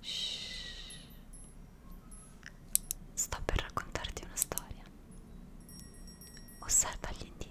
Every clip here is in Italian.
Shh. Sto per raccontarti una storia. Osserva gli indizi.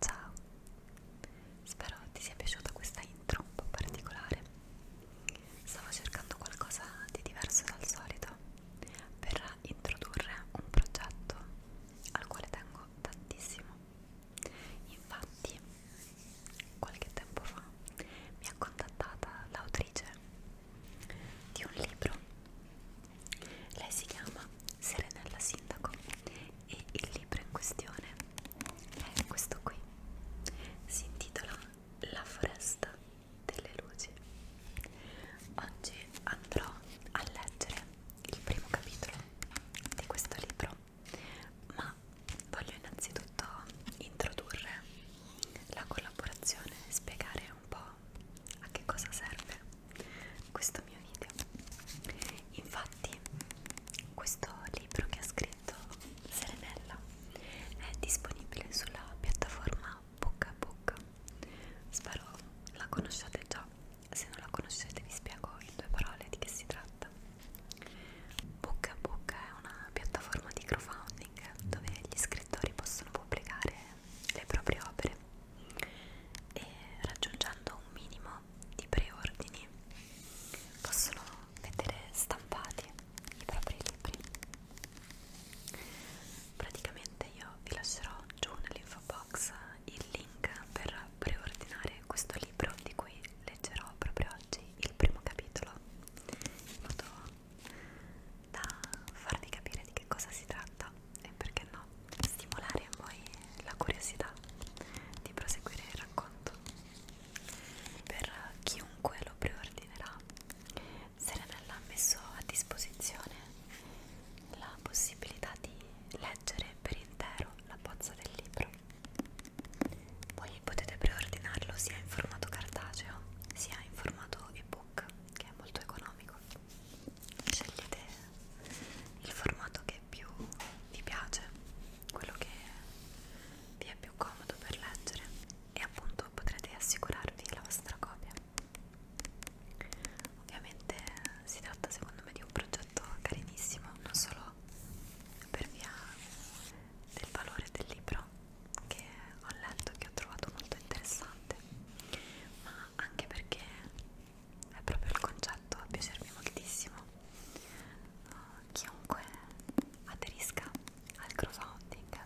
Ciao! Spero ti sia piaciuta questa intro un po' particolare. Stavo cercando qualcosa di diverso dal solito per introdurre un progetto al quale tengo tantissimo. Infatti, qualche tempo fa mi ha contattata l'autrice di un libro. Lei si chiama Serenella Sindaco e il libro in questione è questo qui, si intitola La foresta delle luci. Oggi andrò a leggere il primo capitolo di questo libro, ma voglio innanzitutto introdurre la collaborazione e spiegare un po' a che cosa serve questo mio video infatti questo libro che ha scritto Serenella è disponibile sulla piattaforma BookBook spero la conosciate già se non la conoscete vi spiego in due parole di che si tratta BookBook è una piattaforma di crowdfunding dove gli scrittori possono pubblicare le proprie opere e raggiungendo un minimo di preordini possono vedere stampati i propri libri praticamente io vi lascerò giù nell'info box il link per preordinare questo libro di cui leggerò proprio oggi il primo capitolo in modo da farvi capire di che cosa si tratta e perché no, stimolare in voi la curiosità di proseguire il racconto. Per chiunque lo preordinerà, Serenella ha messo a disposizione la possibilità di leggere per intero la bozza del libro. Voi potete preordinarlo sia in formato cartaceo sia in formato ebook che è molto economico scegliete il formato che più vi piace, quello che vi è più comodo per leggere e appunto potrete assicurarvi la vostra copia. Ovviamente si tratta secondo me di un progetto carinissimo, non solo per via del valore del libro che ho letto e che ho trovato molto interessante, ma anche perché è proprio il concetto a piacermi moltissimo uh, chiunque aderisca al crowdfunding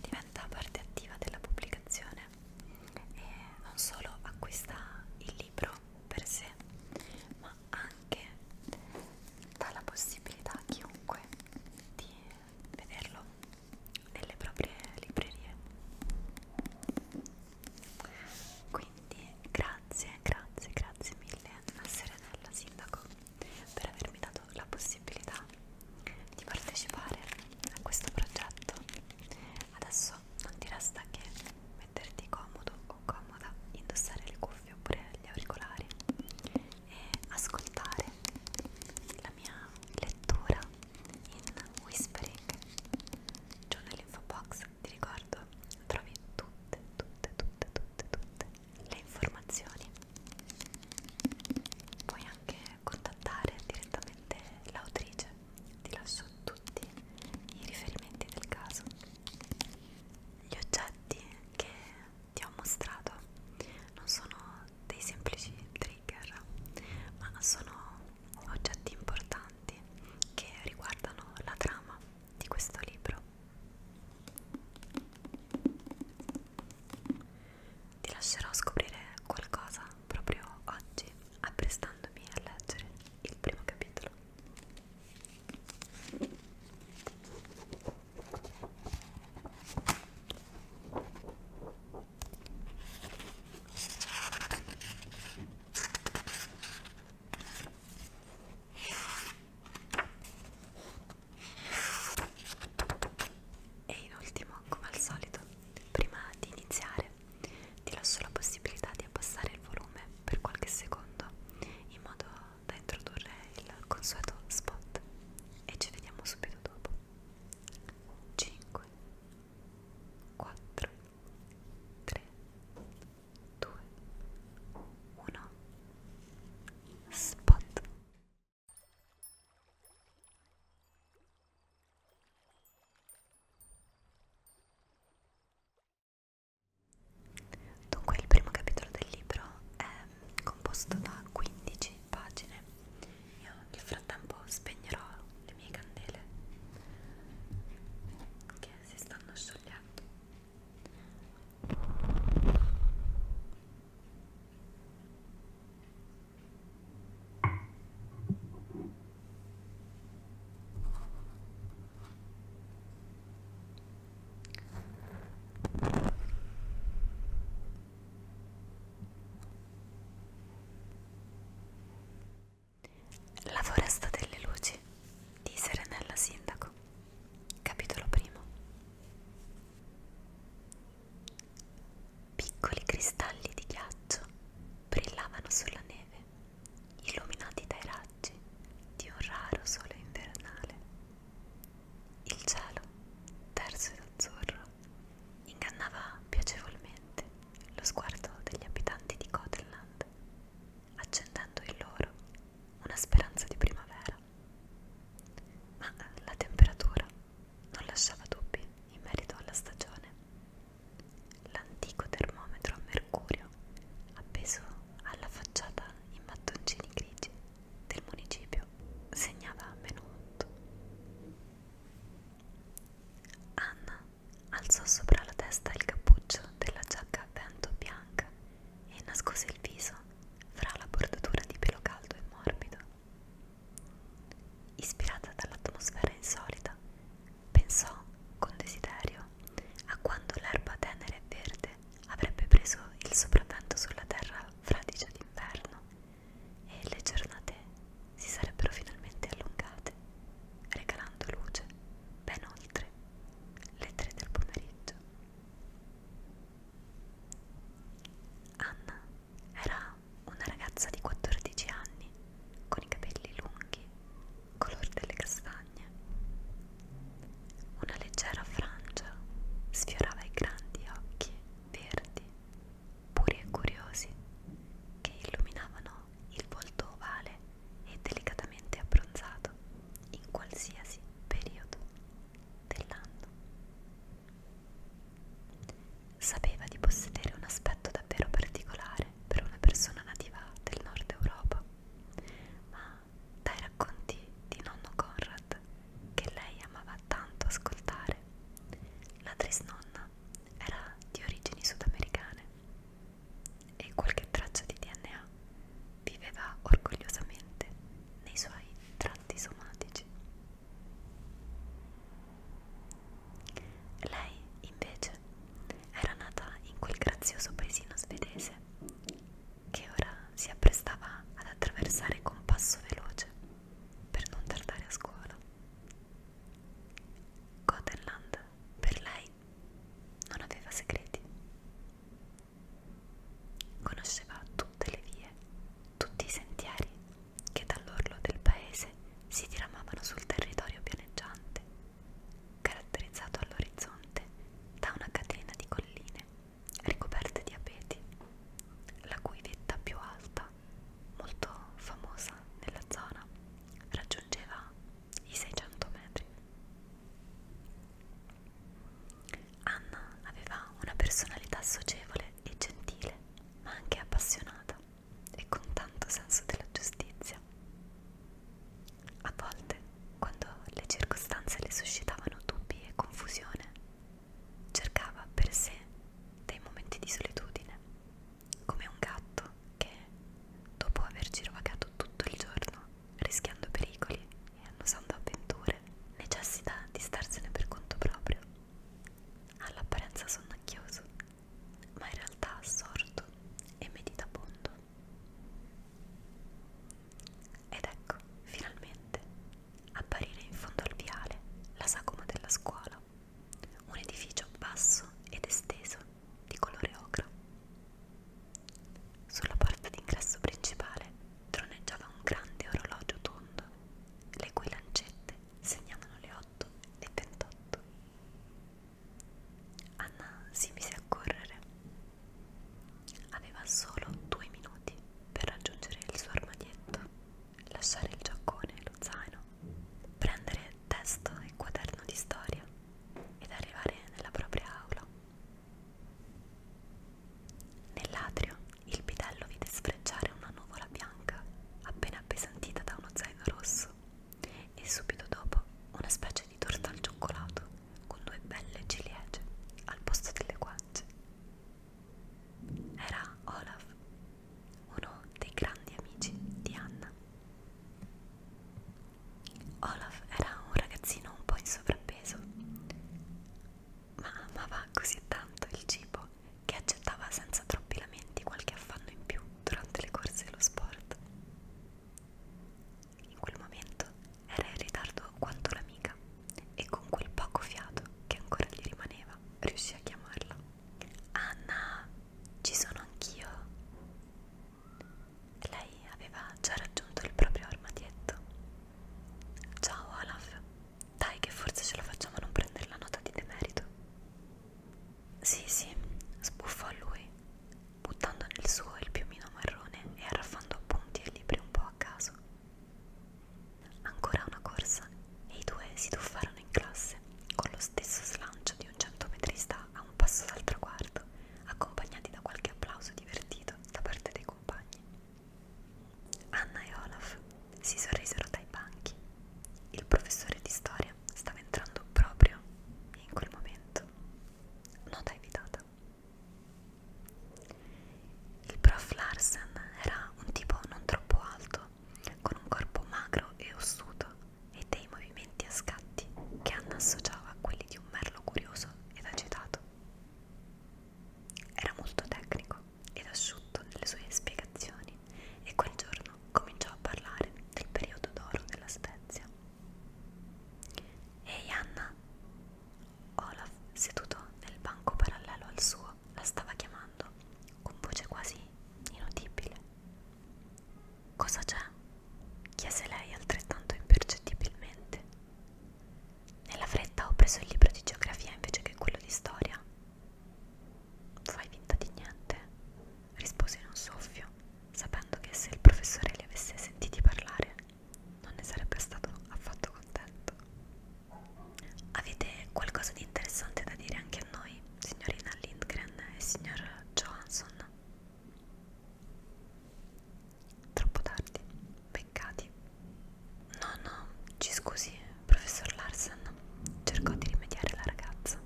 diventa parte attiva della pubblicazione e non solo acquista il libro per sé ma anche dà la possibilità a chiunque di vederlo nelle proprie librerie quindi grazie, grazie, grazie mille a Serenella Sindaco per avermi dato la possibilità di partecipare a questo progetto. Adesso non ti resta che metterti comodo o comoda, indossare le cuffie oppure gli auricolari e ascoltare la mia lettura in whispering giù nell'info box ti ricordo trovi tutte, tutte, tutte, tutte, tutte le informazioni. Puoi anche contattare direttamente l'autrice, ti lascio tutti i riferimenti del caso. Gli oggetti che ti ho mostrato non sono dei semplici trigger, ma sono oggetti importanti che riguardano la trama di questo libro. Ti lascerò scoprire qualcosa proprio oggi, apprestandomi a leggere il primo capitolo. E in ultimo, come al solito, prima di iniziare ti lascio la possibilità di abbassare il volume per qualche secondo in modo da introdurre il consueto spot e ci vediamo subito dopo 5 4 3 2, 1, spot. Dunque il primo capitolo del libro è composto da 15 pagine. Io nel frattempo spegnerò le mie candele perché si stanno sciogliendo la foresta delle luci di Serenella Sindaco Capitolo primo Piccoli cristalli di ghiaccio brillavano sulla neve, illuminati dai raggi di un raro sole invernale. Il cielo, terso ed azzurro, ingannava piacevolmente lo sguardo degli abitanti di Gotland accendendo in loro una speranza di primavera. Ma eh, la temperatura non lasciava dubbi in merito alla stagione. L'antico termometro a mercurio, appeso alla facciata in mattoncini grigi del municipio, segnava meno 8. Anna Alzò sopra la testa il cappuccio della giacca a vento bianca e nascose il viso fra la bordatura di pelo caldo e morbido. Ispirata dall'atmosfera insolita, pensò con desiderio a quando l'erba tenera e verde avrebbe preso il sopravvento sulla terra fradicia d'inverno e le giornate si sarebbero finalmente allungate regalando luce ben oltre le tre del pomeriggio. Anna era una ragazza di 14 anni con i capelli lunghi, color delle castagne. Una leggera frangia sfiorava i grandi occhi verdi, puri e curiosi, che illuminavano il volto ovale e delicatamente abbronzato in qualsiasi periodo dell'anno. Sapeva di possedere un aspetto davvero particolare per una persona nativa del nord Europa, ma dai racconti di nonno Conrad, che lei amava tanto ascoltare, la trisnonna era di origini sudamericane e qualche traccia di DNA viveva orgogliosamente nei suoi tratti somatici. Lei, invece, era nata in quel grazioso paesino svedese che ora si apprestava ad attraversare con passo veloce per non tardare a scuola. Gothenland per lei non aveva segreti. Conosceva tutte le vie, tutti i sentieri che dall'orlo del paese si diramavano sul territorio pianeggiante, caratterizzato all'orizzonte da una catena di colline ricoperte di abeti, la cui vetta più alta, molto famosa nella zona, raggiungeva i 600 metri. Anna aveva una personalità socievole e gentile, ma anche appassionata e con tanto senso della giustizia. A volte, quando le circostanze le suscitavano dubbi e confusione, cercava per sé dei momenti di solitudine, come un gatto che, dopo aver girovagato tutto il giorno, rischiando pericoli e annusando avventure, necessita di starsene per conto proprio. All'apparenza sonnacchioso, ma in realtà assorto e meditabondo. Ed ecco, finalmente, apparire in fondo al viale la sagoma della scuola, un edificio basso ed esteso di colore ocra. Sulla porta d'ingresso principale troneggiava un grande orologio tondo, le cui lancette segnavano le 8 e 28. Anna si mise a correre. Aveva solo due minuti per raggiungere il suo armadietto, lasciare il giaccone e lo zaino, prendere testo e quaderno di storia ed arrivare nella propria aula. Nell'atrio il bidello vide sfrecciare una nuvola bianca appena appesantita da uno zaino rosso e subito dopo una specie di torta al cioccolato con due belle ciliegie al posto delle guance. Era Olaf, uno dei grandi amici di Anna. Olaf era un ragazzino un po' in sovrappeso, ma amava così tanto il cibo che accettava senza troppi lamenti qualche affanno in più durante le corse dello sport. In quel momento era in ritardo quanto l'amica e con quel poco fiato che ancora gli rimaneva riuscì a chiamarla. Anna, ci sono anch'io. Lei aveva già raggiunto il proprio armadietto. Ciao Olaf, dai che forse ce la facciamo a non prendere la nota di demerito. Sì, sì, sbuffò lui, buttando nel suo il piumino marrone e arraffando appunti e libri un po' a caso. Ancora una corsa e i due si tuffarono in classe con lo stesso slancio di un centometrista a un passo dal traguardo accompagnati da qualche applauso divertito da parte dei compagni. Anna e Olaf si sorrisero dai banchi. Il professore di storia stava entrando proprio in quel momento. Nota evitata. Il prof Larsen era un tipo non troppo alto, con un corpo magro e ossuto e dei movimenti a scatti che Anna associava a quelli di un merlo curioso ed agitato. Era molto tecnico ed asciutto nelle sue spiegazioni e quel giorno cominciò a parlare del periodo d'oro della Spezia. Ehi Anna! Olaf, seduto nel banco parallelo al suo, la stava chiamando con voce quasi inudibile. Cosa c'è? chiese lei altrettanto impercettibilmente. Nella fretta ho preso il libro di geografia invece che quello di storia. Fai finta di niente, rispose in un soffio, sapendo che se il professore li avesse sentiti parlare non ne sarebbe stato affatto contento. Avete qualcosa di interessante da dire anche a noi, signorina Lindgren e signor Johansson? Troppo tardi, peccati. No, no, ci scusi, professor Larsen, cercò di rimediare la ragazza.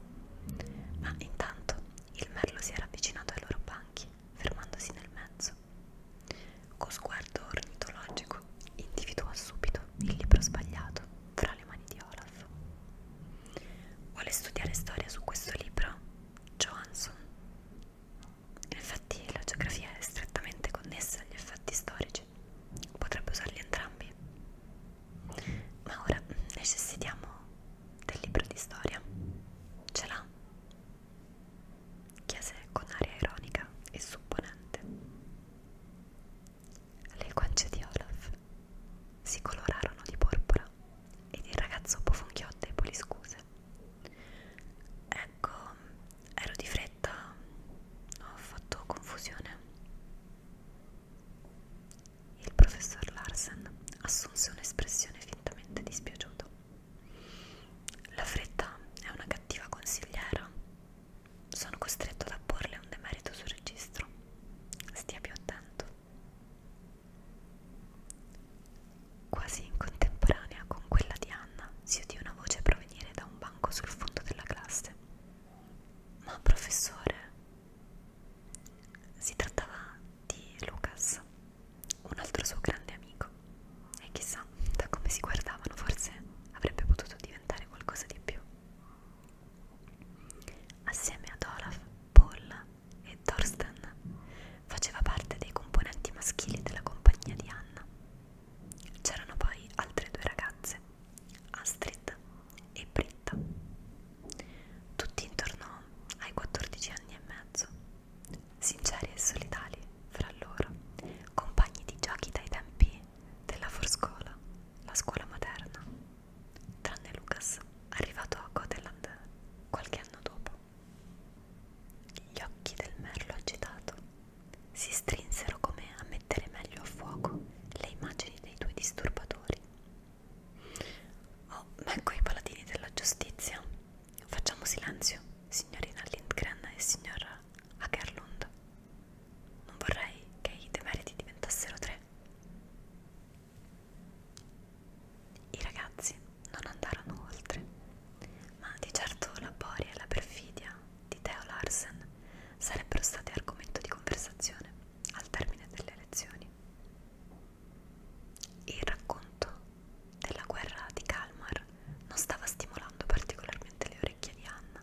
Ma intanto il merlo si era avvicinato ai loro banchi, fermandosi nel mezzo. Con sguardo ornitologico individuò subito il libro sbagliato fra le mani di Olaf. Vuole studiare storia su questo libro? Johansson. Infatti la geografia è strettamente connessa agli effetti storici, potrebbe usarli entrambi. Ma ora necessitiamo del libro di storia. Ce l'ha? Chiese con aria ironica e supponente. Le guance di Olaf si colorarono di porpora ed il ragazzo bofonchiò deboli scuse. Ecco, ero di fretta, ho fatto confusione. Il professor Larsen assunse un'espressione fintamente dispiaciuta. La fretta è una cattiva consigliera. Sono costretto ad apporle un demerito sul registro. Stia più attento. Quasi in contemporanea con quella di Anna si udì una voce provenire da un banco sul fondo della classe. Ma professore, si trattava di Lucas, un altro suo grande amico. E chissà, da come si guardavano forse avrebbe potuto diventare qualcosa di più. Assieme ad Olaf, Paul e Thorsten faceva parte dei componenti maschili della compagnia di Anna. C'erano poi altre due ragazze, Astrid e Britta, tutti intorno ai 14 anni e mezzo, sinceri e solitari fra loro, compagni di giochi dai tempi della forscola, la scuola materna, tranne Lucas, arrivato a Goteland qualche anno dopo. Gli occhi del merlo agitato si strinsero come a mettere meglio a fuoco le immagini dei due disturbatori. Oh, ma ecco i paladini della giustizia. Facciamo silenzio, signorina Lindgren e signora Akerlund. Non vorrei che i demeriti diventassero tre. I ragazzi non andarono oltre, ma di certo la boria e la perfidia di Theo Larsen sarebbero state argomento di conversazione al termine delle lezioni. Il racconto della guerra di Kalmar non stava stimolando particolarmente le orecchie di Anna,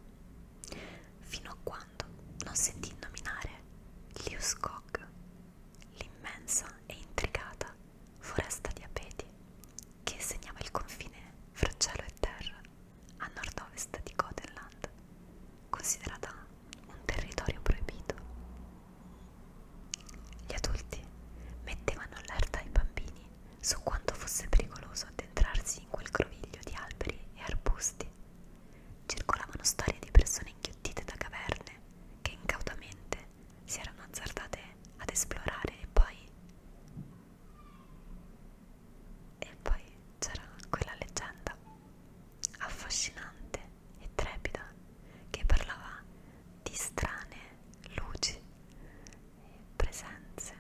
fino a quando non sentì nominare Liuskog, l'immensa e intricata foresta di Apeti, che segnava il confine fra cielo e terra a nord-ovest di Gotenland, considerata un territorio proibito. Gli adulti mettevano allerta ai bambini su quanto fosse pericoloso addentrarsi in quel groviglio di alberi e arbusti. Circolavano storie di persone inghiottite da caverne che incautamente si erano azzardate ad esplorare e poi e poi c'era quella leggenda affascinante e trepida che parlava di strane luci e presenze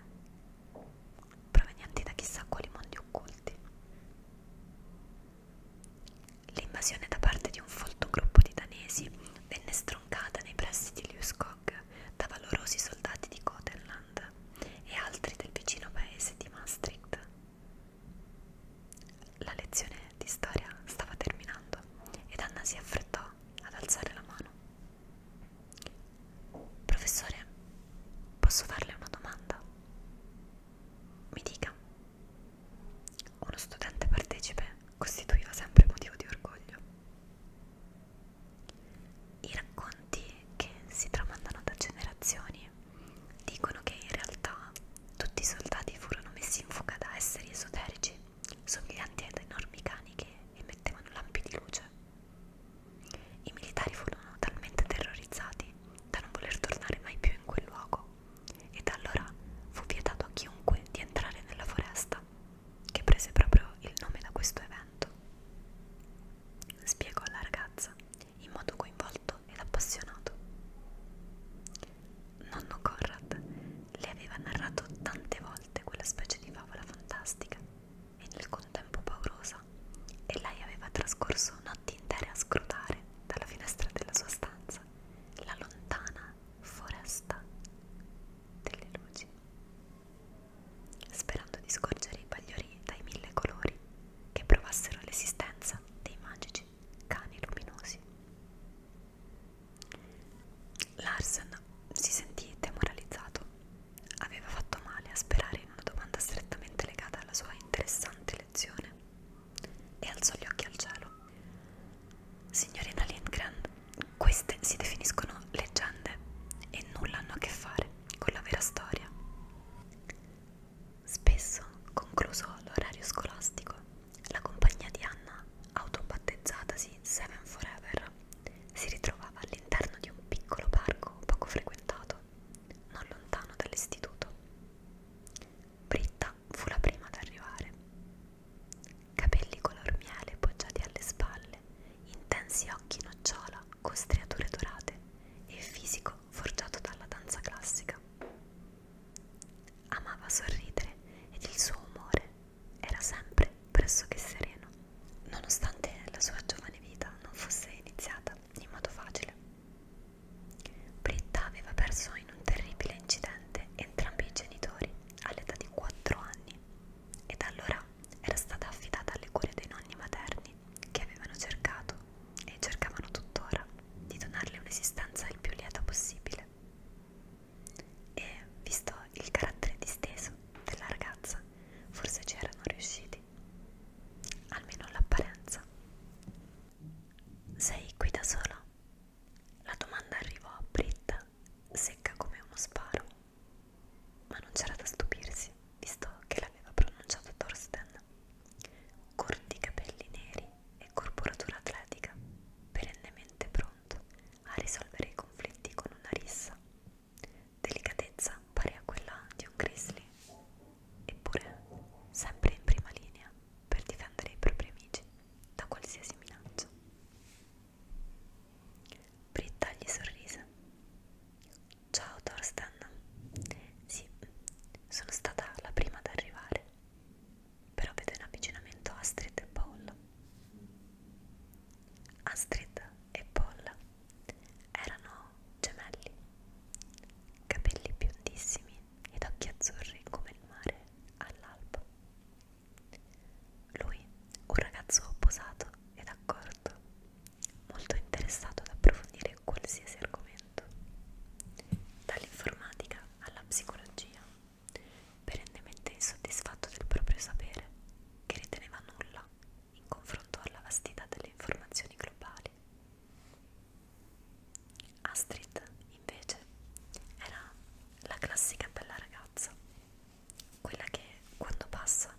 provenienti da chissà quali mondi occulti L'invasione da parte di un folto gruppo di danesi venne stroncata nei pressi di Liuskog da valorosi soldati di Gotenland e altri del vicino paese di Maastricht. La lezione di storia stava terminando ed Anna si affrettò ad alzare la mano. Professore, posso farle una domanda? Mi dica. Uno studente partecipe costituiva sempre motivo di orgoglio. I racconti che si tramandano da generazioni dicono che in realtà tutti i soldati furono messi in fuga da esseri esoterici, somiglianti ad enormi cani che emettevano lampi di luce. I militari furono talmente terrorizzati da non voler tornare mai più in quel luogo e da allora fu vietato a chiunque di entrare nella foresta, che prese proprio il nome da questo evento. Spiegò alla ragazza in modo coinvolto ed appassionato. Nonno Conrad le aveva narrato tante volte quella specie di favola fantastica e nel contempo paurosa, e lei aveva trascorso notti intere a scrutare dalla finestra della sua stanza la lontana foresta delle luci, sperando di scorgere i bagliori dai mille colori che provassero l'esistenza dei magici cani luminosi. Larsen si sentì demoralizzato, aveva fatto male a sperare in una domanda strettamente legata alla sua interessante lezione e alzò gli occhi al cielo. Signorina Lindgren, queste si definiscono leggende e nulla hanno a che fare con la vera storia. Spesso, concluso l'orario scolastico, la compagnia di Anna, autobattezzatasi Seven Forever, si ritrovava all'interno di un piccolo parco poco frequentato, non lontano dall'istituto. Britta fu la prima ad arrivare Capelli color miele poggiati alle spalle, intensi occhi nocciola con striature dorate e fisico forgiato dalla danza classica. Amava sorridere ed il suo umore era sempre pressoché sereno, nonostante la sua giovane vita non fosse iniziata in modo facile. Britta aveva perso in un terribile incidente morente entrambi i genitori all'età di 4 anni e da allora era stata affidata alle cure dei nonni materni che avevano cercato e cercavano tuttora di donarle un'esistenza il più lieta possibile. E visto il carattere disteso della ragazza, forse ci erano riusciti, almeno l'apparenza. Sei qui da sola? La domanda arrivò a Britta, secca come uno sparo, ma non c'era da stupirsi, visto che l'aveva pronunciato Thorsten. Corti capelli neri e corporatura atletica, perennemente pronto a risolvere i conflitti con una rissa. Delicatezza pari a quella di un grizzly, eppure sempre in prima linea per difendere i propri amici da qualsiasi minaccia. Britta gli sorrise. Ciao Thorsten. Sì, sono stata la prima ad arrivare, però vedo in avvicinamento Astrid e Paul. Astrid e Paul erano gemelli, capelli biondissimi ed occhi azzurri come il mare all'alba. Lui, un ragazzo posato ed accorto, molto interessato ad approfondire qualsiasi argomento, dall'informatica alla psicologia, perennemente insoddisfatto del proprio sapere, che riteneva nulla in confronto alla vastità delle informazioni globali. Astrid, invece, era la classica bella ragazza, quella che quando passa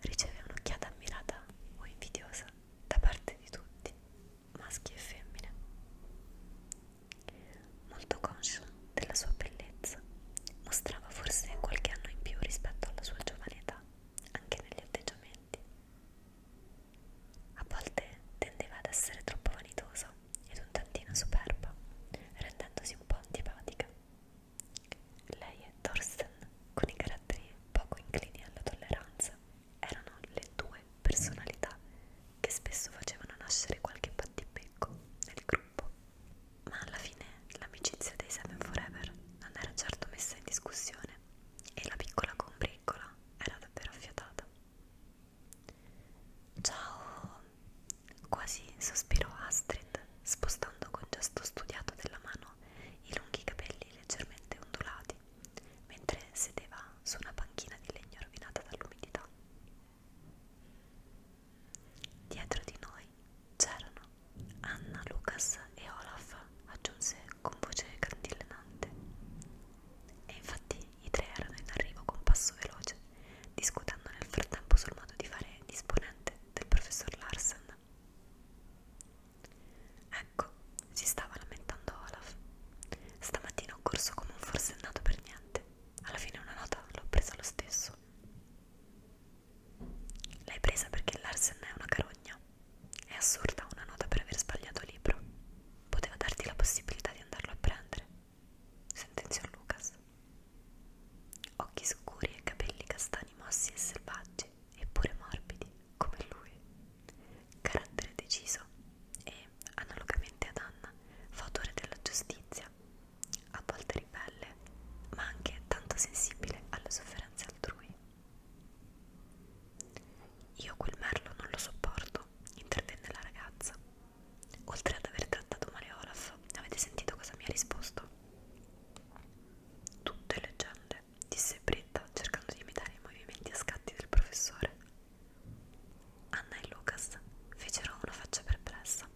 riceve un'occhiata ammirata o invidiosa da parte di tutti, maschi e femmine. Molto conscio della sua bellezza, mostrava forse qualche anno in più rispetto alla sua giovane età, anche negli atteggiamenti. A volte tendeva ad essere troppo vanitosa ed un tantino superba, rendendosi un po' antipatica. Lei e Thorsten, con i caratteri poco inclini alla tolleranza, erano le due personalità che spesso facevano nascere qualche battibecco nel gruppo. Ma alla fine l'amicizia dei Seven Forever non era certo messa in discussione e la piccola combriccola era davvero affiatata. Ciao, quasi sospirò Astrid, spostando con gesto studiato della mano i lunghi capelli leggermente ondulati, mentre sedeva su una panchina di legno rovinata dall'umidità. Dietro di noi c'erano Anna, Lucas e Olaf, aggiunse con voce cantillenante. E infatti i tre erano in arrivo con passo veloce, discutendo nel frattempo sul modo di fare disponente del professor Larsen. Ecco, si stava lamentando Olaf. Stamattina ho corso come un forsennato per niente. Alla fine una nota l'ho presa lo stesso. L'hai presa perché Larsen è una carogna. È assurda una nota per aver sbagliato libro. Poteva darti la possibilità di andarlo a prendere sentenziò Lucas. Occhi scuri e capelli castani mossi e selvaggi, eppure morbidi, come lui. Carattere deciso e, analogamente ad Anna, fautore della giustizia, a volte ribelle, ma anche tanto sensibile alle sofferenze altrui. Io quel merlo non lo sopporto, intervenne la ragazza. Oltre ad aver trattato male Olaf, avete sentito cosa mi ha risposto? Tutte leggende, disse Britta cercando di imitare i movimenti a scatti del professore. Anna e Lucas fecero una faccia perplessa.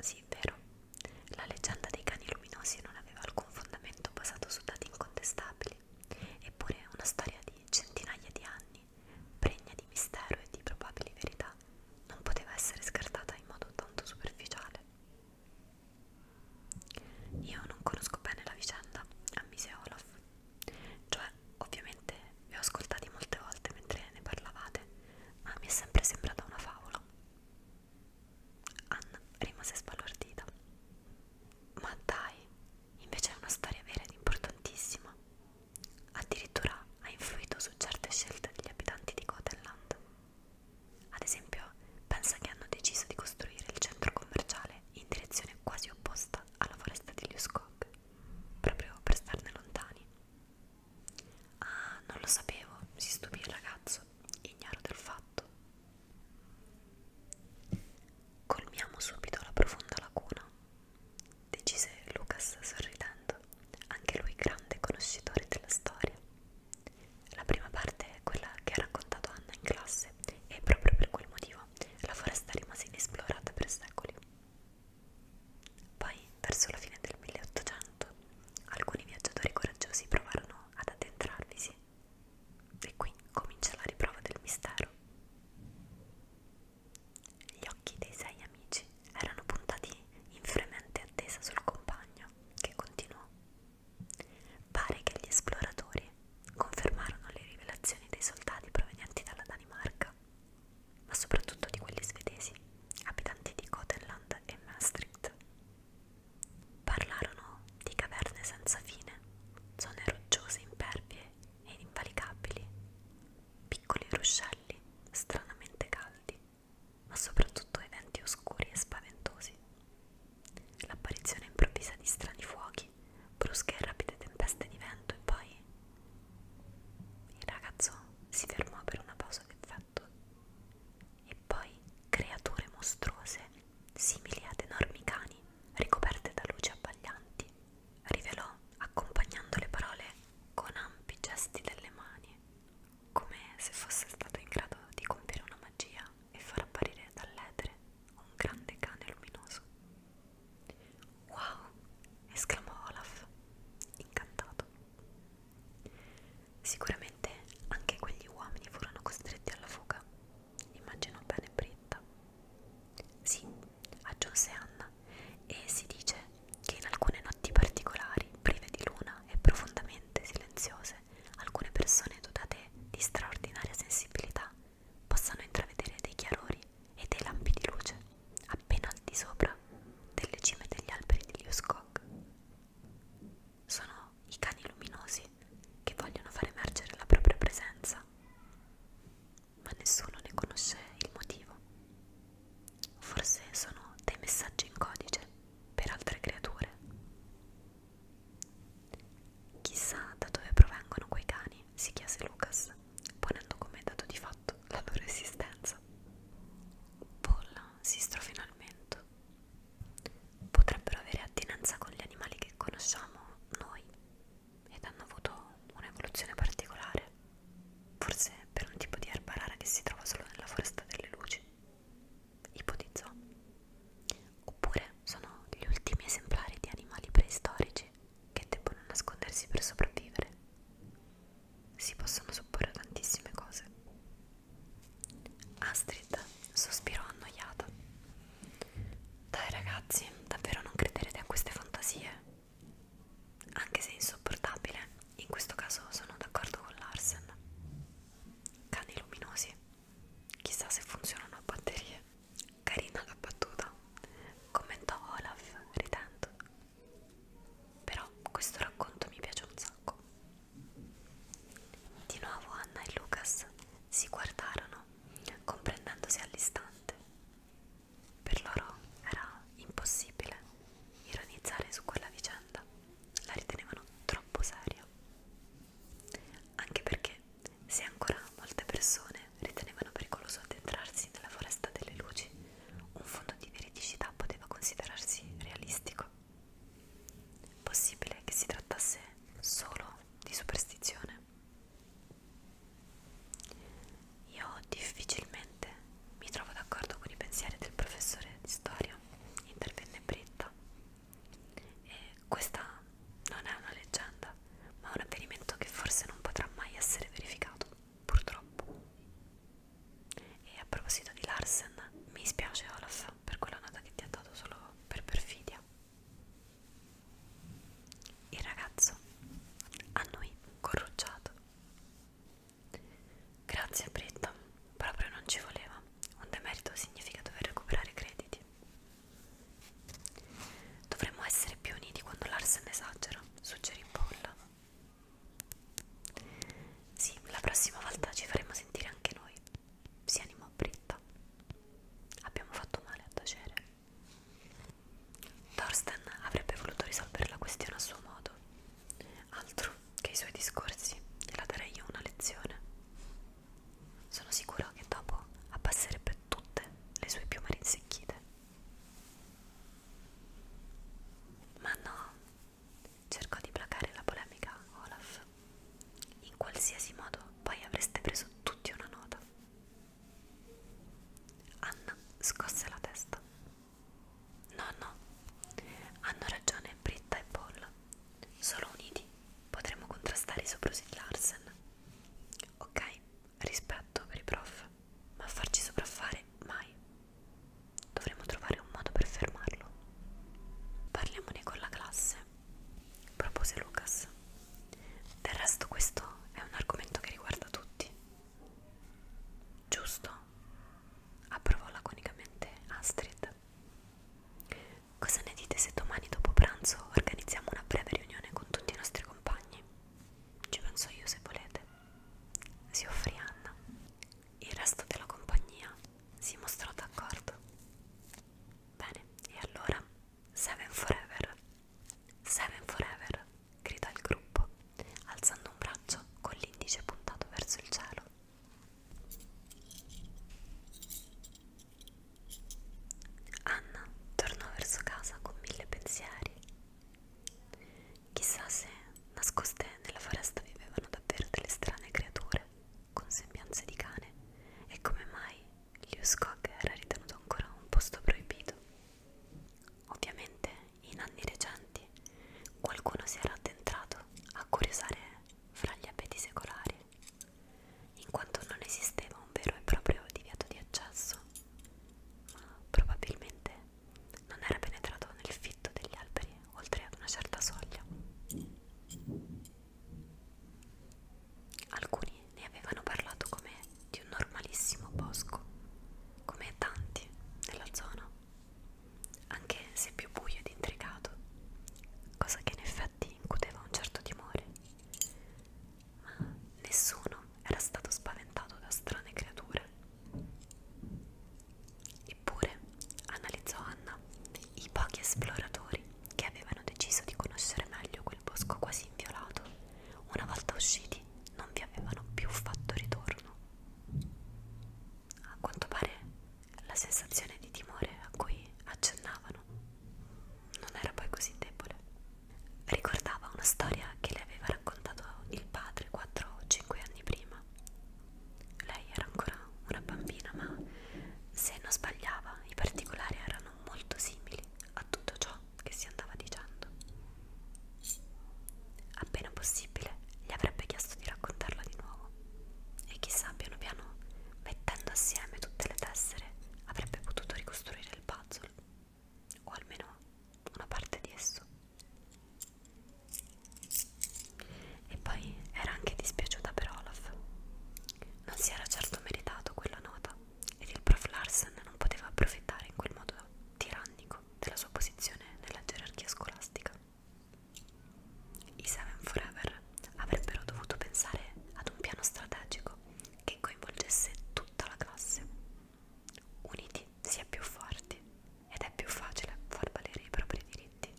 Sì, vero, la leggenda dei cani luminosi non aveva alcun fondamento basato su dati incontestabili, eppure è una storia di centinaia di anni anni, pregna di mistero e di probabili verità, non poteva essere scartata in modo tanto superficiale. Io non conosco bene la vicenda, ammise Olaf. Cioè, ovviamente vi ho ascoltati molte volte mentre ne parlavate, ma mi è sempre sembrata una favola. Anna rimase sbalordita. Ma dai, invece è una storia vera ed importantissima. Addirittura ha influito su certe scelte degli abitanti di Gotenland. Ad esempio, pensa che hanno deciso di costruire il centro commerciale in direzione quasi opposta alla foresta di Liuskog, proprio per starne lontani. Ah, non lo sapevo, si stupì il ragazzo, ignaro del fatto. Colmiamo subito la profonda lacuna decise Lucas sorridendo, anche lui grande conoscitore della storia. La prima parte è quella che ha raccontato Anna in classe e proprio per quel motivo la foresta rimase inesplorata per secoli. Poi, verso la fine del 1800, alcuni viaggiatori coraggiosi provarono ad addentrarvisi e qui comincia la riprova del mistero. Gli occhi dei sei amici erano puntati in fremente attesa sul compagno, che continuò. Pare che gli esploratori confermarono le rivelazioni dei soldati provenienti dalla Danimarca, ma soprattutto di quelli svedesi, abitanti di Gothenland e Maastricht. Parlarono di caverne senza fine, zone rocciose impervie ed invalicabili, piccoli ruscelli stranamente caldi, ma soprattutto eventi oscuri e spaventosi. L'apparizione improvvisa di strani fuochi, brusche e rapide tempeste di vento e poi... Il ragazzo si fermò per una pausa d'effetto. E poi creature mostruose, simili ad enormi cani, ricoperte da luci abbaglianti, rivelò accompagnando le parole con ampi gesti delle mani, come se fosse stato in grado di compiere una magia e far apparire dall'etere un grande cane luminoso. Wow! esclamò Olaf, incantato. Sicuramente anche quegli uomini furono costretti alla fuga, immaginò bene Britta. Sì, aggiunse Anna, e si dice che in alcune notti particolari, prive di luna e profondamente silenziose, alcune persone dotate di straordinaria sensibilità possano intravedere dei chiarori e dei lampi di luce appena al di sopra delle cime degli alberi di Liuskog. Sono i cani luminosi che vogliono far emergere la propria presenza ma nessuno ne conosce il motivo. Forse sono dei messaggi in codice per altre creature. Chissà da dove provengono quei cani, si chiese Lucas, ponendo come dato di fatto la loro esistenza. Paul si strofinò al mento. Potrebbero avere attinenza con gli animali che conosciamo noi ed hanno avuto un'evoluzione particolare. Forse per un tipo di erba rara che si trova solo nella foresta delle luci, ipotizzò. Oppure sono gli ultimi esemplari di animali preistorici che debbono nascondersi per sopravvivere. Si possono supporre tantissime cose. Astrid sospirò annoiata. Dai ragazzi, davvero non crederete a queste fantasie? anche se insopportabile, in questo caso sono d'accordo con Larsen. Cani luminosi, chissà se funzionano a batterie. Carina la battuta, commentò Olaf ridendo. Però questo racconto mi piace un sacco. Di nuovo Anna e Lucas si guardarono, comprendendosi all'istante. Per loro era impossibile ironizzare su quella vicenda, la ritenevano troppo seria. Anche perché, se ancora molte persone ritenevano pericoloso addentrarsi nella foresta delle luci, un fondo di veridicità poteva considerarsi realistico. Possibile che si trattasse solo di superstizione. Io difficilmente mi trovo d'accordo con i pensieri del professore di storia, intervenne Britta. E questa non è una leggenda, ma un avvenimento che forse non potrà mai essere verificato, purtroppo. E a proposito di Larsen, mi spiace Olaf per quella nota che ti ha dato solo per perfidia. Il ragazzo a noi corrucciato Grazie Britta, proprio non ci voleva. Un demerito significa dover recuperare crediti. Dovremmo essere più uniti quando Larsen esagera, suggerì Paul. Sì, la prossima volta ci faremo sentire anche noi. Si animò Britta. Abbiamo fatto male a tacere. Thorsten avrebbe voluto risolvere la questione a suo modo, altro che i suoi discorsi, gliela darei io una lezione. Sono sicuro che dopo abbasserebbe tutte le sue piume rinsecchite. Ma no, cercò di placare la polemica Olaf. In qualsiasi modo poi avreste preso tutti una nota. Anna scosse la testa. No, no, hanno ragione Britta e Paul. Solo uniti potremo contrastare i soprusi di Larsen. Ok, rispetto per i prof, ma farci sopraffare mai. Dovremo trovare un modo per fermarlo. Parliamone con la classe, propose Lucas. Del resto questo è un argomento che riguarda tutti. Giusto? approvò laconicamente Astrid. Cosa ne dite se domani dopo pranzo organizziamo una breve riunione con tutti i nostri compagni? Ci penso io se volete. Si offrì Anna. Il resto della compagnia si mostrò d'accordo. Bene, e allora Seven Forever. Seven Forever, gridò il gruppo alzando un braccio con l'indice puntato verso il cielo. Anna tornò verso casa con mille pensieri. Chissà se nascoste nella foresta vivevano davvero delle strane creature con sembianze di cane e come mai Liuskog era ritenuto ancora un posto proibito. Ovviamente in anni recenti qualcuno si era addentrato a curiosare fra gli abeti secolari, in quanto non esisteva un vero e proprio divieto di accesso, ma probabilmente non era penetrato nel fitto degli alberi oltre ad una certa soglia. Alcuni ne avevano parlato come di un normalissimo bosco, come tanti nella zona, anche se più buio ed intricato, cosa che in effetti incuteva un certo timore. Ma nessuno era stato spaventato da strane creature. Eppure, analizzò Anna, i pochi esploratori che avevano deciso di conoscere meglio quel bosco quasi inviolato, una volta usciti non vi avevano più fatto ritorno. A quanto pare la sensazione di timore a cui accennavano non era poi così debole. Ricordava una storia che le aveva raccontato il padre 4 o 5 anni prima. Lei era ancora una bambina, ma se non sbagliava i particolari erano molto simili a tutto ciò che si andava dicendo. Appena possibile gli avrebbe chiesto di raccontarla di nuovo e chissà piano piano, mettendo assieme tutte le tessere, avrebbe potuto ricostruire il puzzle, o almeno una parte di esso. E poi era anche dispiaciuta per Olaf. Non si era certo meritato quella nota ed il prof Larsen non poteva approfittare in quel modo tirannico della sua posizione nella gerarchia scolastica. I Seven Forever avrebbero dovuto pensare ad un piano strategico che coinvolgesse tutta la classe. Uniti si è più forti ed è più facile far valere i propri diritti.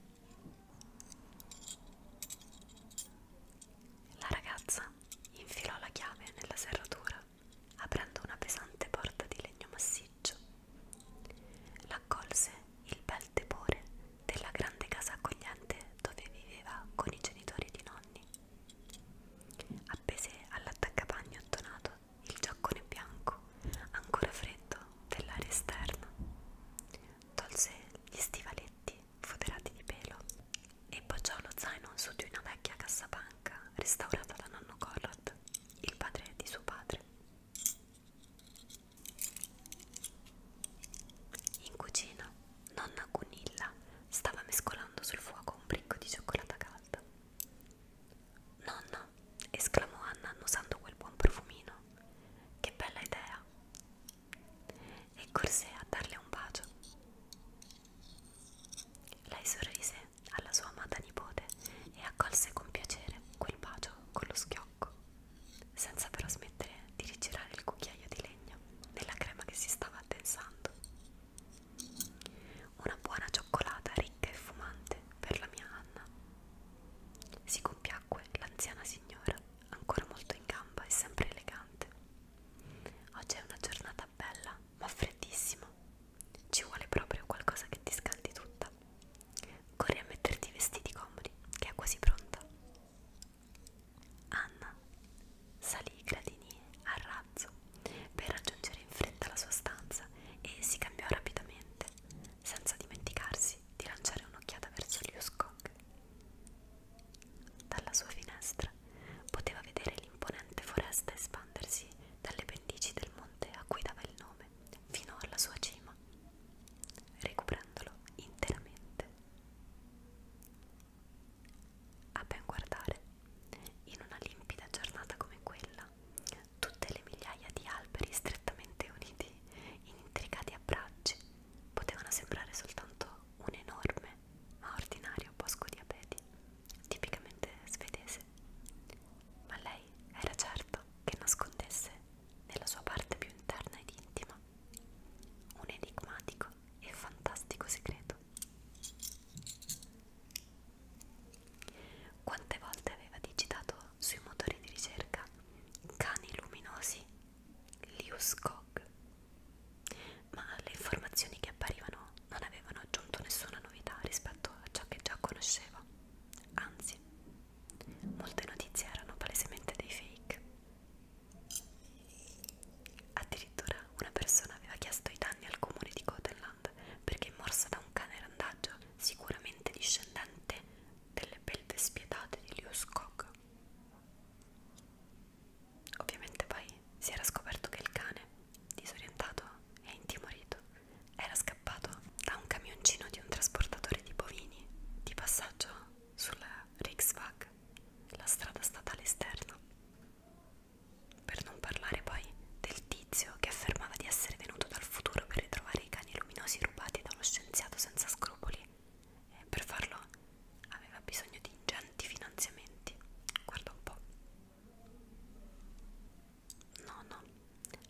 La ragazza infilò la chiave nella serratura aprendo una pesante porta di legno massiccio. L'accolse il bel tepore della grande casa accogliente dove viveva con i genitori di nonni. Appese all'attaccapagno attonato il giaccone bianco, ancora freddo, dell'aria esterna. Tolse gli stivaletti foderati di pelo e poggiò lo zaino su di una vecchia cassapanni bianca restaurata da nonno Conrad, il padre di suo padre. In cucina, nonna Gunilla stava mescolando sul fuoco un bricco di cioccolata calda. Nonno, esclamò Anna annusando quel buon profumino. Che bella idea! E corse a darle un bacio. Lei sorrise alla sua amata nipote e accolse con piacere quel bacio con lo schiocco, senza però smettere di rigirare il cucchiaio di legno nella crema che si stava addensando. Una buona cioccolata ricca e fumante per la mia Anna. Si compiacque l'anziana signora, ancora molto in gamba e sempre elegante. Oggi è una giornata bella, ma freddissima, ci vuole proprio qualcosa che ti scaldi tutta. Corri a metterti i vestiti comodi, che è quasi pronta. Anna salì i gradini a razzo per raggiungere in fretta la sua stanza e si cambiò rapidamente, senza dimenticarsi di lanciare un'occhiata verso gli Uscock. Dalla sua finestra poteva vedere l'imponente foresta espandersi dalle pendici del monte a cui dava il nome fiume fino alla sua cima, recuperandolo interamente. A ben guardare, in una limpida giornata come quella, tutte le migliaia di alberi strettamente uniti in intricati abbracci potevano sembrare soltanto un enorme ma ordinario bosco di abeti, tipicamente svedese. Ma lei era certa che nascondesse nella sua parte più interna ed intima un enigmatico e fantastico segreto. Quante volte aveva digitato sui motori di ricerca cani luminosi Liuskog, ma le informazioni che apparivano non avevano aggiunto nessuna novità rispetto a ciò che già conosceva. Anzi, molte notizie erano palesemente dei fake. Addirittura una persona aveva chiesto i danni al comune di Gotenland perché morsa da un cane randaggio, sicuramente discendente delle belve spietate di Lius Kog. Ovviamente poi si era scoperto che il cane, disorientato e intimorito, era scappato da un camioncino di un trasportatore di bovini di passaggio sulla Riksvag, la strada statale esterna. Per non parlare poi del tizio che affermava di essere venuto dal futuro per ritrovare i cani luminosi rubati da uno scienziato senza scrupoli e per farlo aveva bisogno di ingenti finanziamenti. Guarda un po'. No, no,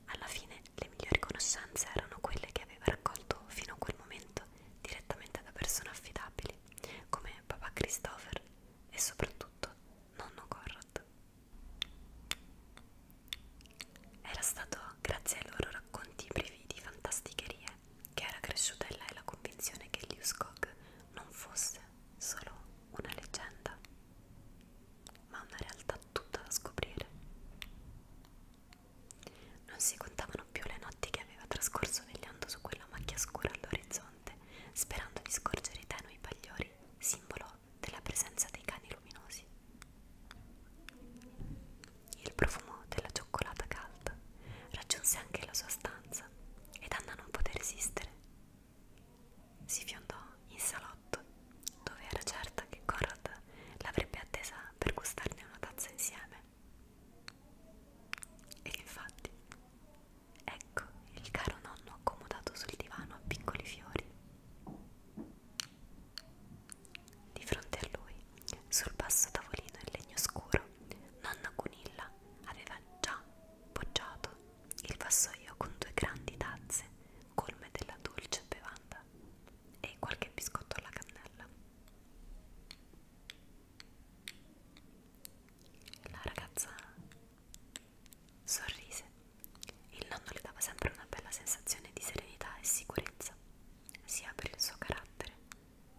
alla fine le migliori conoscenze erano quelle che aveva raccolto fino a quel momento direttamente da persone affidabili, come papà Christopher e soprattutto nonno Conrad. Era stato grazie ai loro racconti privi di fantasticherie che era cresciuta in lei la convinzione che Liuskog non fosse solo una leggenda ma una realtà tutta da scoprire. Non si contavano più le notti che aveva trascorso vegliando su quella macchia scura all'orizzonte, sperando di scorgere i tenui bagliori, simbolo della presenza dei cani luminosi. Il profumo della cioccolata calda raggiunse anche la sua stanza ed Anna non poté resistere si fiondò in salotto, dove era certa che Conrad l'avrebbe attesa per gustarne una tazza insieme. Ed infatti, ecco il caro nonno accomodato sul divano a piccoli fiori. Di fronte a lui, sul basso tavolino in legno scuro, nonna Gunilla aveva già poggiato il vassoio con due grandi tazze colme della dolce bevanda e qualche biscotto alla cannella. La ragazza sorrise. Il nonno le dava sempre una bella sensazione di serenità e sicurezza, sia per il suo carattere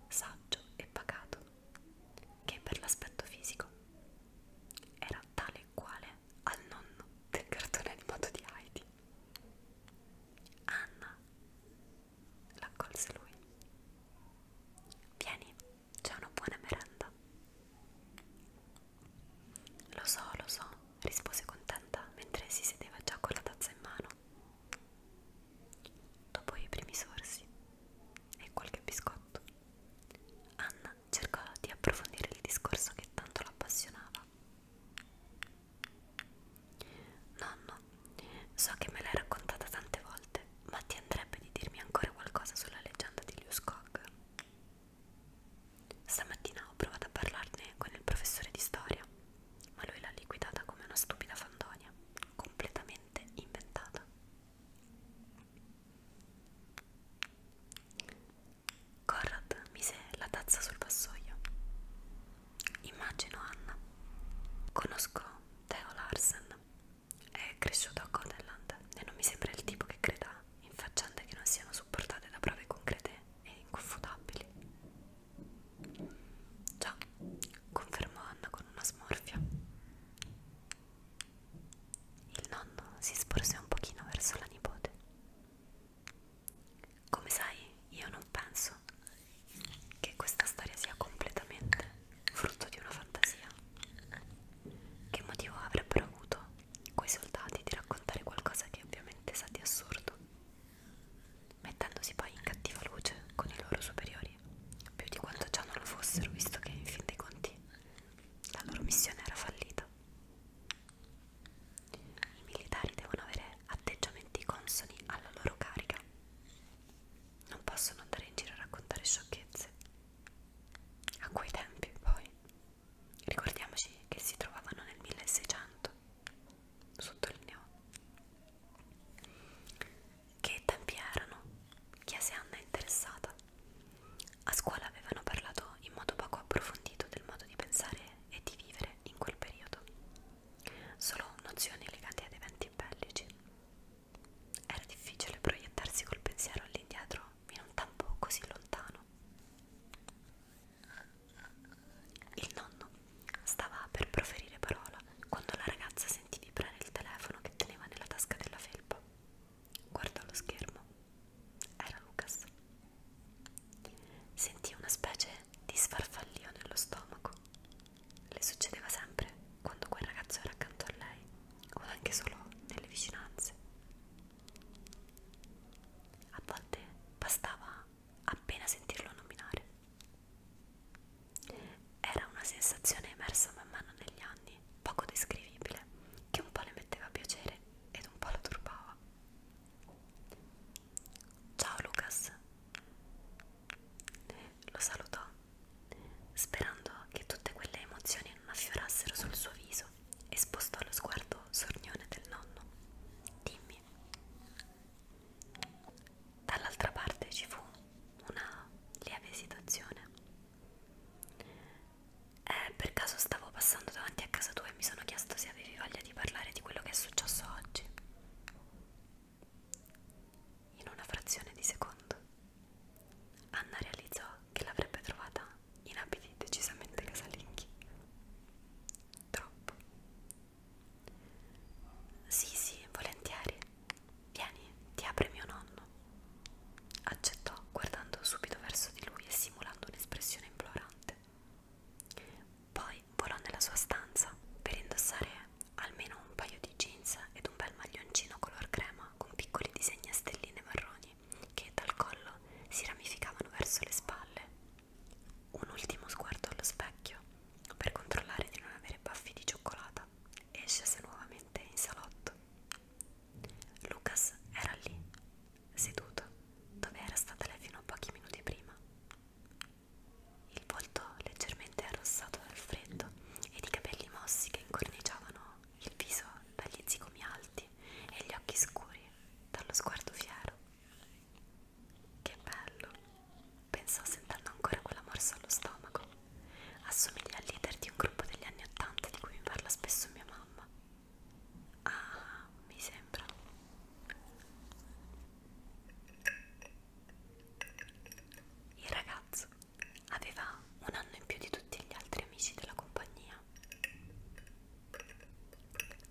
saggio e pacato che per l'aspetto fisico. Era tale e quale al nonno del cartone animato di Heidi. Anna l'accolse lui. Vieni, c'è una buona merenda. Lo so, lo so, rispose contenta mentre si sedeva già con la tazza in mano. Dopo i primi sorsi e qualche biscotto, Anna cercò di approfondire il discorso che tanto l'appassionava parlava. Nonno, so che me l'hai raccontata tante volte, ma ti andrebbe di dirmi ancora qualcosa sulla leggenda di Liu Skog? Stamattina ho provato a parlarne con il professore di storia, ma lui l'ha liquidata come una stupida fandonia, completamente inventata. Conrad mise la tazza sul vassoio. Immagino Anna. Conosco Theo Larsen. È cresciuto a Codeland e non mi sembra il tipo che creda in faccende che non siano supportate da prove concrete e inconfutabili. Già, confermò Anna con una smorfia. Il nonno si sporse un pochino verso la nipote. Come sai, io non penso che questa storia sia completamente frutto di una fantasia. Che motivo avrebbero avuto quei soldati di raccontare qualcosa che ovviamente sa di assurdo, mettendosi poi in cattiva luce con i loro superiori, più di quanto già non lo fossero, visto che in fin dei conti la loro missione era fallita. I militari devono avere atteggiamenti consoni alla loro carica. Non possono andare in giro a raccontare sciocchezze. A quei tempi, poi, ricordiamoci che si trovavano nel 1600, sottolineò. Che tempi erano? chiese Anna interessata. A scuola avevano parlato in modo poco approfondito del modo di pensare e di vivere in quel periodo, solo nozioni legate ad eventi bellici. Era difficile proiettarsi col pensiero all'indietro in un tempo così lontano. Il nonno stava per proferire parola quando la ragazza sentì vibrare il telefono che teneva nella tasca della felpa. Guardò lo schermo era Lucas. Sentì una specie di sfarfallio nello stomaco. Le succedeva sempre quando quel ragazzo era accanto a lei o anche solo nelle vicinanze. A volte bastava appena sentirlo nominare. Era una sensazione emersa man mano negli anni, poco descrivibile, che un po' le metteva piacere ed un po' la turbava. Ciao Lucas, lo salutò, sperando che tutte quelle emozioni non affiorassero sul suo viso e spostò lo sguardo sornione del nonno. Dimmi. Dall'altra parte ci fu una lieve esitazione. Eh, per caso stavo passando davanti a casa tua e mi sono chiesto se avevi voglia di parlare di quello che è successo oggi. In una frazione di secondo, Anna realizzò che l'avrebbe trovata in abiti decisamente casalinghi. Troppo. Sì, sì, volentieri. Vieni, ti apre mio nonno. Accettò guardando subito verso di lui e simulando un'espressione implorante. Poi volò nella sua stanza per indossare almeno un paio di jeans ed un bel maglioncino color crema con piccoli disegni a stelline marroni che dal collo si ramificavano verso le spalle. Un ultimo sguardo allo specchio per controllare di non avere baffi di cioccolata e scese nuovamente in salotto. Lucas era lì, seduto dove era stata lei fino a pochi minuti prima. Il volto leggermente arrossato dal freddo ed i capelli mossi che incorniciavano il viso dagli zigomi alti e gli occhi scuri dallo sguardo fiero. Che bello, pensò sentendo ancora quella morsa allo stomaco. Assomiglia al leader di un gruppo degli anni Ottanta di cui mi parla spesso mia mamma. Ah, mi sembra. Il ragazzo aveva un anno in più di tutti gli altri amici della compagnia.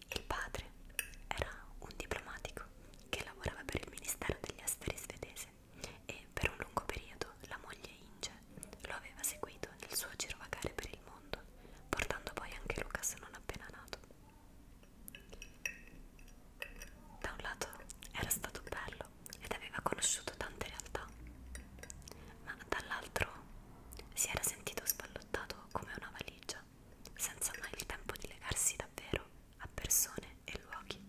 Il padre era un diplomatico che lavorava per il Ministero degli Esteri svedese e per un lungo periodo la moglie Inge lo aveva seguito nel suo girovagare per il mondo portando poi anche Lucas non appena nato. Da un lato era stato bello ed aveva conosciuto tante realtà, ma dall'altro si era sentito sballottato come una valigia, senza mai il tempo di legarsi davvero a persone e luoghi.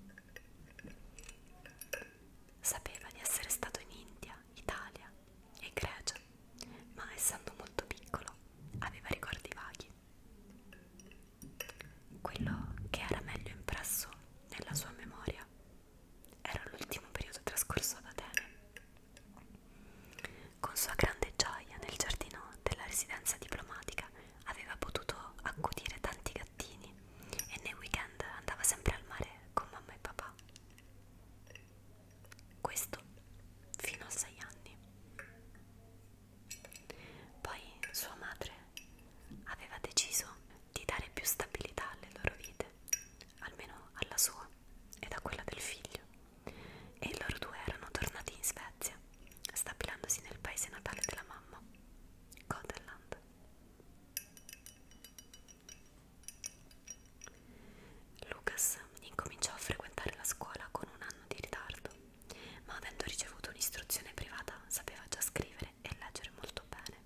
Sapeva di essere stato in India Italia e Grecia, ma essendo molto piccolo aveva ricordi vaghi. Quello che era meglio impresso nella sua memoria era l'ultimo periodo trascorso ad Atene. Con sua grande gioia nel giardino della residenza diplomatica aveva potuto accudire tanti gattini e nei weekend andava sempre al mare con mamma e papà questo fino a 6 anni. Poi sua madre aveva deciso di dare più stabilità alle loro vite, almeno alla sua ed a quella del figlio, e loro due erano tornati in Svezia, stabilandosi nel paese natale della mamma, Godeland. Lucas incominciò a frequentare la scuola con un anno di ritardo, ma avendo ricevuto un'istruzione privata sapeva già scrivere e leggere molto bene.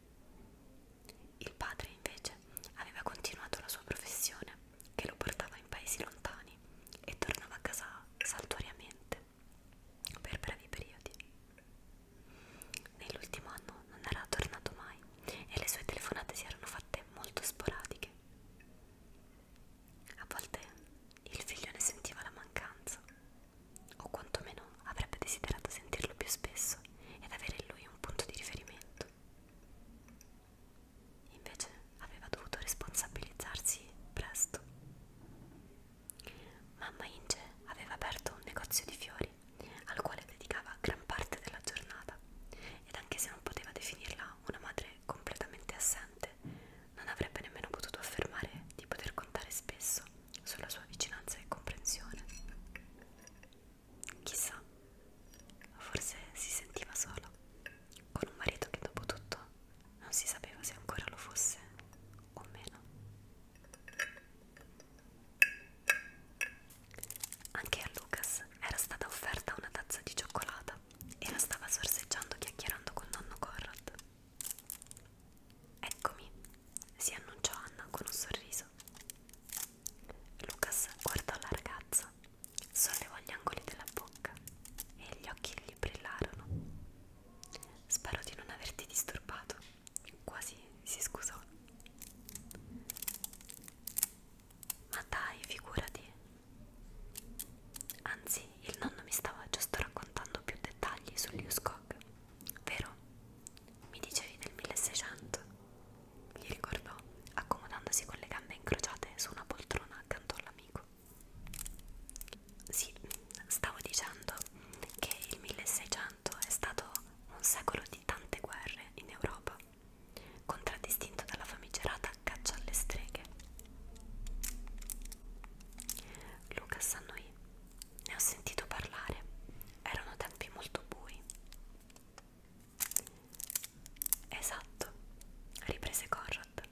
Il padre invece aveva continuato la sua professione che lo portava in paesi lontani e tornava a casa saltuariamente per brevi periodi. Nell'ultimo anno non era tornato mai e le sue telefonate si erano fatte molto sporadiche. A volte il figlio ne sentiva la mancanza, o quantomeno avrebbe desiderato sentirlo più spesso ed avere in lui un punto di riferimento. Invece aveva dovuto responsabilizzarsi presto. Mamma Inge aveva aperto un negozio di fiori al quale dedicava gran parte della giornata ed anche se non poteva definirla una madre completamente assente non avrebbe nemmeno potuto affermare di poter contare spesso sulla sua vicinanza e comprensione. Chissà, forse si sentiva sola, con un marito che dopo tutto non si sapeva se ancora lo fosse o meno. Anche a Lucas era stata offerta una tazza di cioccolata e la stava sorseggiando chiacchierando con nonno Corrod. Eccomi, si annunciò Anna con un sorriso. Lucas guardò la ragazza, sollevò gli angoli della bocca e gli occhi gli brillarono. Spero di non averti disturbato, quasi si scusò. Ma dai, figurati. Anzi, il nonno mi stava giusto raccontando più dettagli sull'Uskog, vero? Mi dicevi del 1600, gli ricordò, accomodandosi con le gambe incrociate su una poltrona accanto all'amico. Sì, stavo dicendo che il 1600 è stato un secolo di tante guerre in Europa contraddistinto dalla famigerata caccia alle streghe. Luca s'annoì, ne ho sentito parlare, erano tempi molto bui. Esatto, riprese Conrad.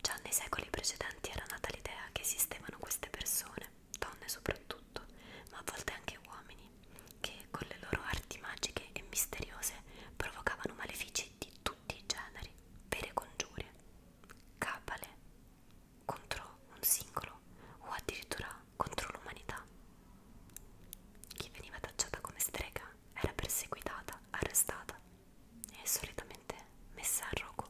Già nei secoli precedenti era nata l'idea che esistevano queste persone, donne soprattutto, ma a volte anche uomini, che con le loro arti magiche e misteriose provocavano malefici di tutti i generi, vere congiure, cabale contro un singolo o addirittura contro l'umanità. Chi veniva tacciata come strega era perseguitata, arrestata e solitamente messa a rogo.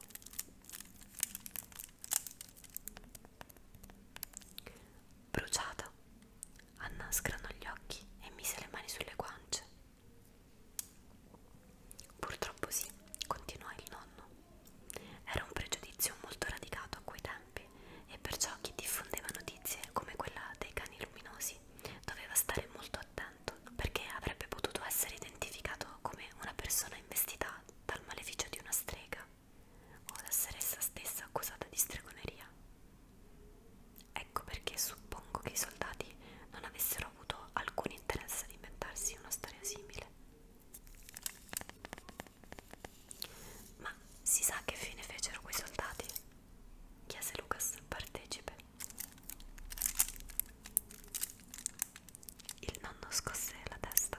Bruciata Anna scranò gli occhi e mise le mani sulle guance. Purtroppo sì, continuò il nonno. Era un pregiudizio molto radicato a quei tempi e perciò chi diffondeva notizie come quella dei cani luminosi doveva stare molto attento perché avrebbe potuto essere identificato come una persona investita dal maleficio di una strega o la seressa stessa accusata di stregoneria. Ecco perché suppongo che i soldati non avessero avuto alcun interesse ad inventarsi una storia simile. Ma si sa che fine fecero quei soldati? chiese Lucas partecipe. Il nonno scosse la testa.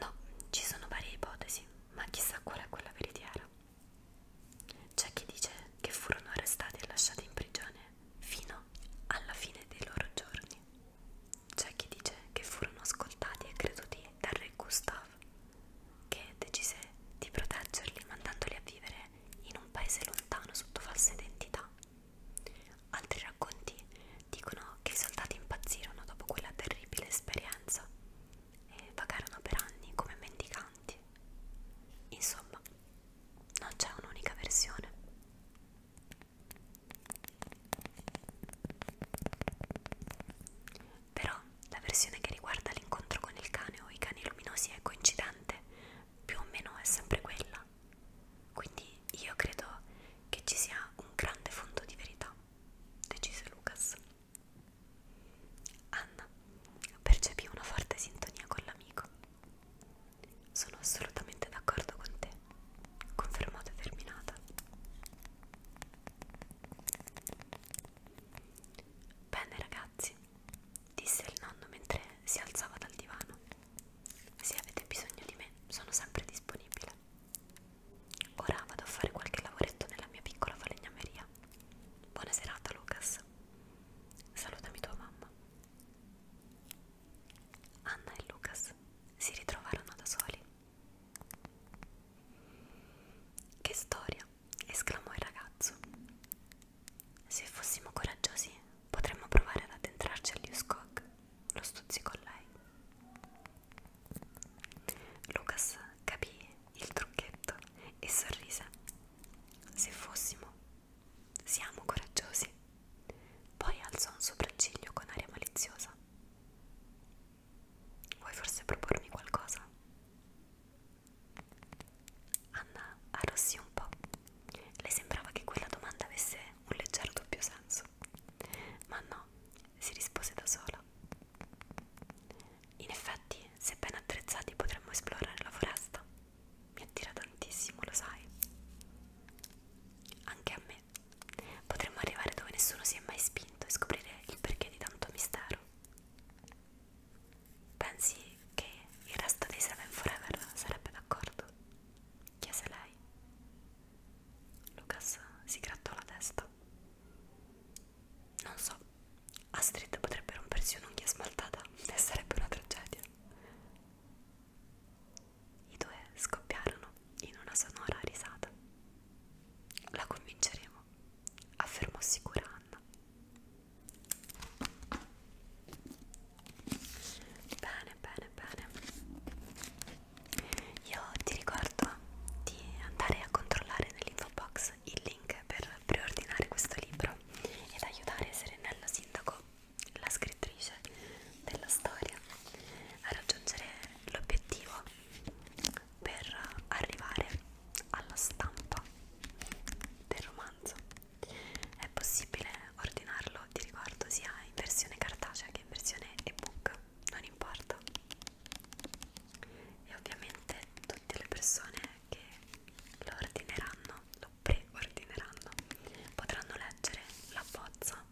No, ci sono varie ipotesi, ma chissà qual è quella veritiera. C'è chi dice che furono arrestati e lasciati in prigione fino alla fine dei loro giorni. C'è chi dice che furono ascoltati e creduti dal re Gustav, che decise di proteggerli mandandoli a vivere in un paese lontano sotto falsa identità. Altri racconti dicono che i soldati impazzirono dopo quella terribile esperienza e vagarono per anni come mendicanti. Insomma, non c'è un'unica versione. Però la versione che riguarda l'incontro con il cane o i cani luminosi è coincidente, più o meno è sempre quella. Quindi io credo che ci sia un grande fondo di verità, decise Lucas. Anna percepì una forte sintonia con l'amico. Sono assolutamente d'accordo con te, confermò determinata. Bene ragazzi, disse il nonno mentre si alzava dal divano. Se avete bisogno di me, sono sempre disponibile. Ora vado a fare qualche lavoretto nella mia piccola falegnameria. Buona serata Lucas. Salutami tua mamma. Anna e Lucas si ritrovarono da soli. Che storia! esclamò il ragazzo. Se fossimo coraggiosi potremmo provare ad addentrarci all'Uscock, lo stuzzicò lei. Lucas capì il trucchetto e sorrise. Se fossimo, siamo coraggiosi. Poi alzò un sopracciglio con aria maliziosa. Vuoi forse propormi qualcosa? Anna arrossì un po'. Le sembrava che quella domanda avesse un leggero doppio senso. Ma no, si rispose da sola. In effetti, se ben attrezzati potremmo esplorare la foresta. Mi attira tantissimo, lo sai. Anche a me. Potremmo arrivare dove nessuno si è mai spinto e scoprire il perché di tanto mistero. Pensi che il resto dei Seven Forever sarebbe d'accordo? Chiese lei. Lucas si grattò la testa. Non so, Astrid potrebbe rompersi un'unghia smaltata e sarebbe una tragedia. I due scoppiarono in una sonora risata. La convinceremo, affermò sicura Anna. Bene, bene, bene. Io ti ricordo di andare a controllare nell'info box box il link per preordinare questo libro ed aiutare Serenello Sindaco, la scrittrice della storia, a raggiungere l'obiettivo per arrivare alla stampa del romanzo. È possibile ordinarlo di riguardo sia in versione cartacea che in versione ebook, non importa. E ovviamente tutte le persone che lo ordineranno, lo preordineranno, potranno leggere la bozza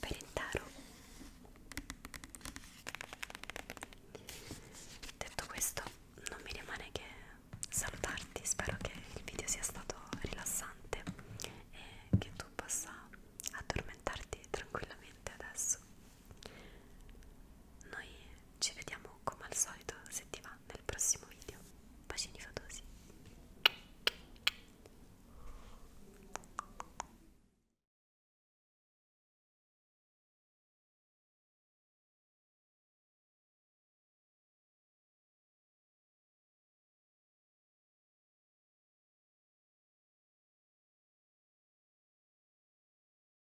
per intero. Detto questo, non mi rimane che salutarti, spero che il video sia stato rilassante e che tu possa addormentarti tranquillamente adesso. Noi ci vediamo come al solito se ti va nel prossimo video. Bacini fotosi.